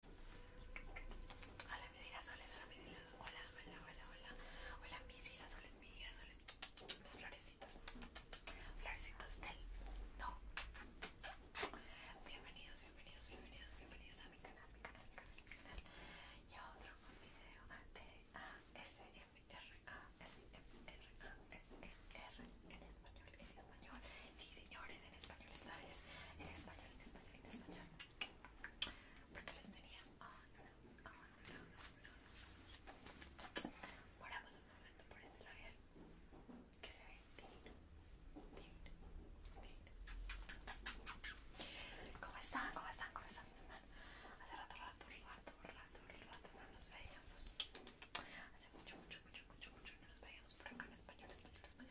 Hola mis girasoles, hola mis girasoles, mis girasoles, mis girasoles, florecitas, florecitas del no. Bienvenidos, bienvenidos, bienvenidos, bienvenidos a mi canal, mi canal, mi canal, mi canal y a otro video de en español, Sí, señores, en español, En español, en español, en español. Porque les tenía. Ah, un momento por este labial que se ve ¿Cómo están? ¿Cómo están? ¿Cómo están? Hace rato, rato, rato, rato, rato no nos veíamos. Hace mucho, mucho, mucho, mucho, mucho no nos veíamos por acá en español, español.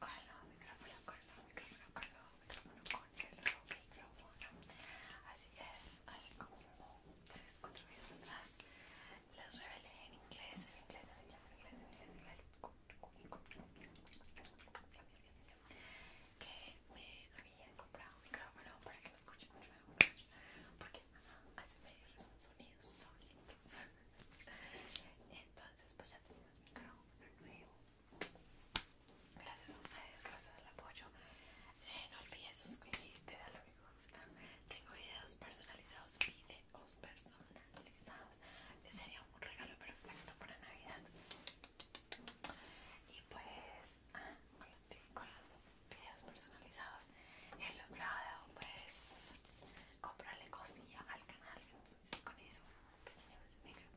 cono, micrófono, micrófono, micrófono, Así es, así como 3, 4 atrás les revelé en inglés, en inglés, en inglés, en inglés, en inglés, que me habían comprado un micrófono para que me escuchen mucho mejor porque hace medio son sonidos sonidos entonces pues ya tenemos micrófono nuevo Gracias a ustedes, gracias al apoyo. Eh, no olvides suscribirte, darle a me gusta. Tengo videos personalizados, videos personalizados. Sería un regalo perfecto para Navidad. Y pues, ah, con, los, videos personalizados he logrado pues comprarle cosilla al canal. con eso tenemos pues, micro.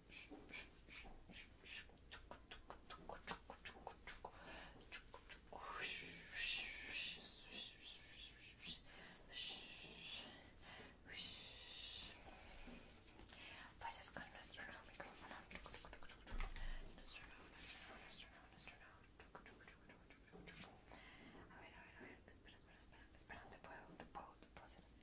Pues es con nuestro nuevo micrófono. Nuestro nuevo, nuestro nuevo, nuestro nuevo, nuestro nuevo. A ver, a ver, a ver. Espera, espera, espera. Espera, te puedo, te puedo, te puedo hacer así.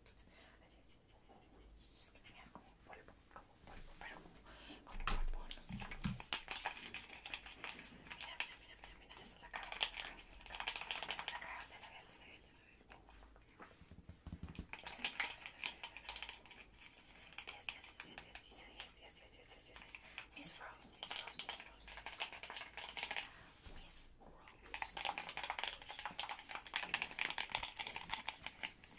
Es que me veas como un polvo, como un pero como un polvo, esa es la cara, es la cara, es Yes, yes, yes, yes, yes, yes, yes, Miss Rose, Miss Rose, Miss Rose, Miss Rose, Miss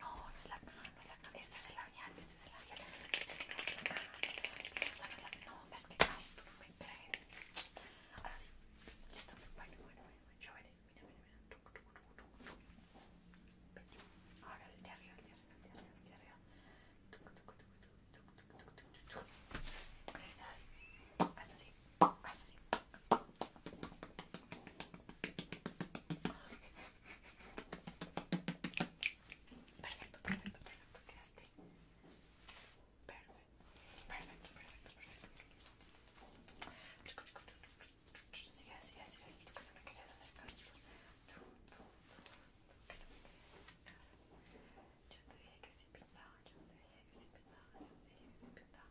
No, no es la cama, no es la cama. Este es el labial, este es el labial. Este no es la cama. No, no, es que ay, tú me crees. Ahora sí. Listo. Bueno, bueno, bueno. Yo veré. Mira, mira, mira. Ahora el de arriba, el de arriba, el de arriba, el de arriba. Hasta así, hasta así. Perfecto, perfecto, perfecto. Quedaste. Perfecto, perfecto, perfecto, perfecto. así, Tú me querías hacer caso. Tú, que te dije que sí pintaba, yo te dije que sí pintaba, yo te dije que sí pintaba.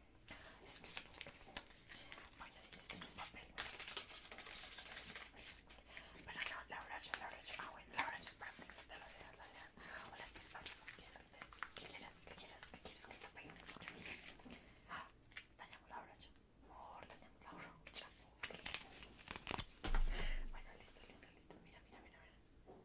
Es que Bueno, la la la ah, la la listo, listo, listo. mira, mira, mira.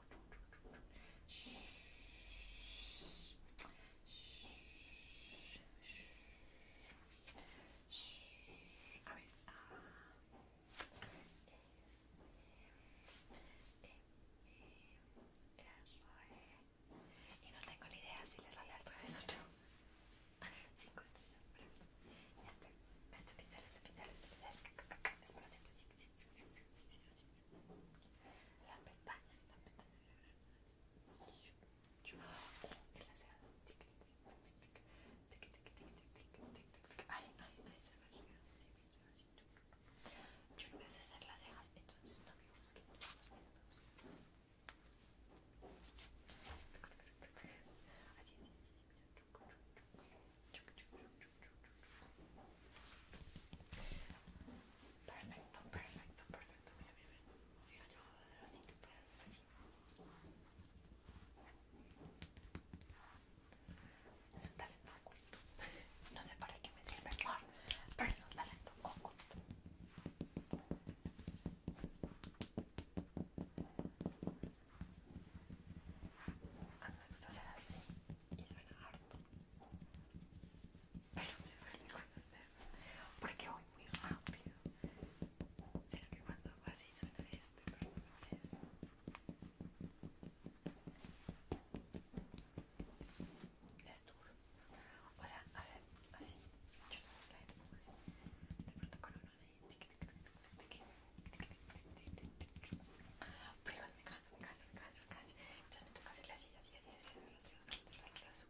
A ver, y no tengo ni idea si les sale al revés o Cinco estrellas, pero este, este pincel, este pincel, este pincel. Espero, sí, sí, sí, sí, sí, la pestaña, la pestaña. Oh, en las cejas. Yo no voy a hacer las cejas, entonces no me busquen. Perfecto, perfecto, perfecto. Mira, mira, mira. yo así, así. Es un talento oculto. No sé para qué me sirve, ah, pero es un talento oculto. Cuando me gusta hacer así y suena harto. Pero me duele con los porque voy muy rápido. Sino que cuando hago así suena este, pero no suena este. Es duro. O sea, hacer así. no De pronto pero me canso, me canso, me toca hacerle así, los dedos, me canso,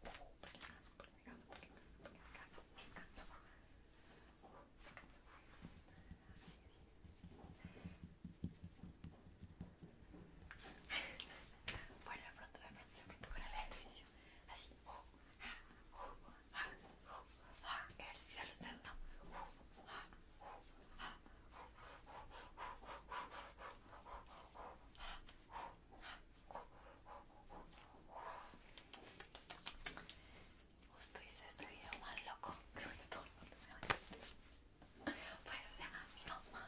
me canso, Así, Bueno, pronto, de pronto, con el ejercicio. Así, el cielo está en Justo hice este video más loco, creo que todo el mundo me va a Por eso se llama mi mamá,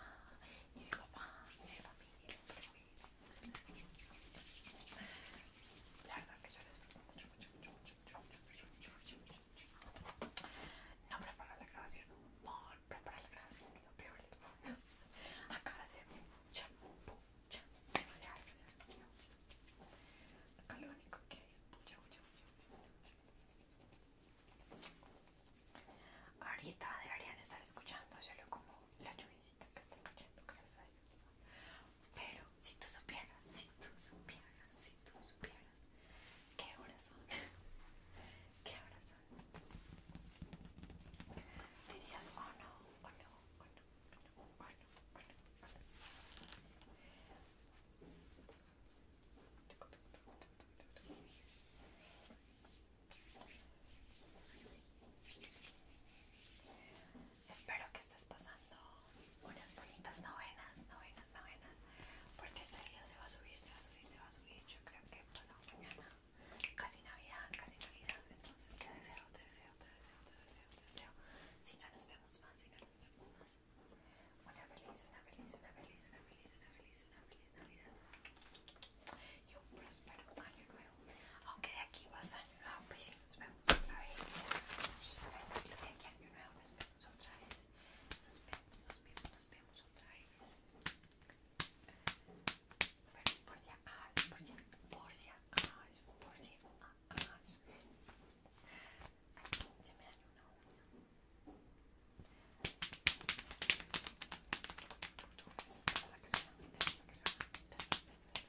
mi papá, mi familia, y mi La verdad es que yo les pregunto mucho. No prepara la grabación, No prepara la grabación lo peor del mundo. Acá de ser mucha, mucha Acá lo único que hay es mucha, mucha, mucha. Ahorita deberían estar escuchando, Solo como la lluvia. Pero si tú supieras, si tú supieras, si tú supieras, ¿qué horas son? ¿Qué horas Dirías, no, oh no, oh no, oh no, oh no, oh no. Oh no. Espero que estés pasando unas bonitas novenas, novenas, novenas, porque este día se va a subir, se va a subir, se va a subir. Yo creo que la mañana, casi Navidad, casi Navidad. Entonces te deseo, te deseo, te deseo, te deseo, te deseo. Si no nos vemos más, si no nos vemos más, una feliz, una feliz, una feliz, una feliz, una feliz, una feliz Navidad y un próspero año nuevo. Aunque de aquí vas a año nuevo, pues si nos vemos otra vez. de aquí a año nuevo nos vemos otra vez. Nos vemos, nos vemos, nos vemos otra vez. por si acaso, por si acaso, por si acaso, por se me dañó una uña. es lo que suena, es lo que suena, es lo que suena.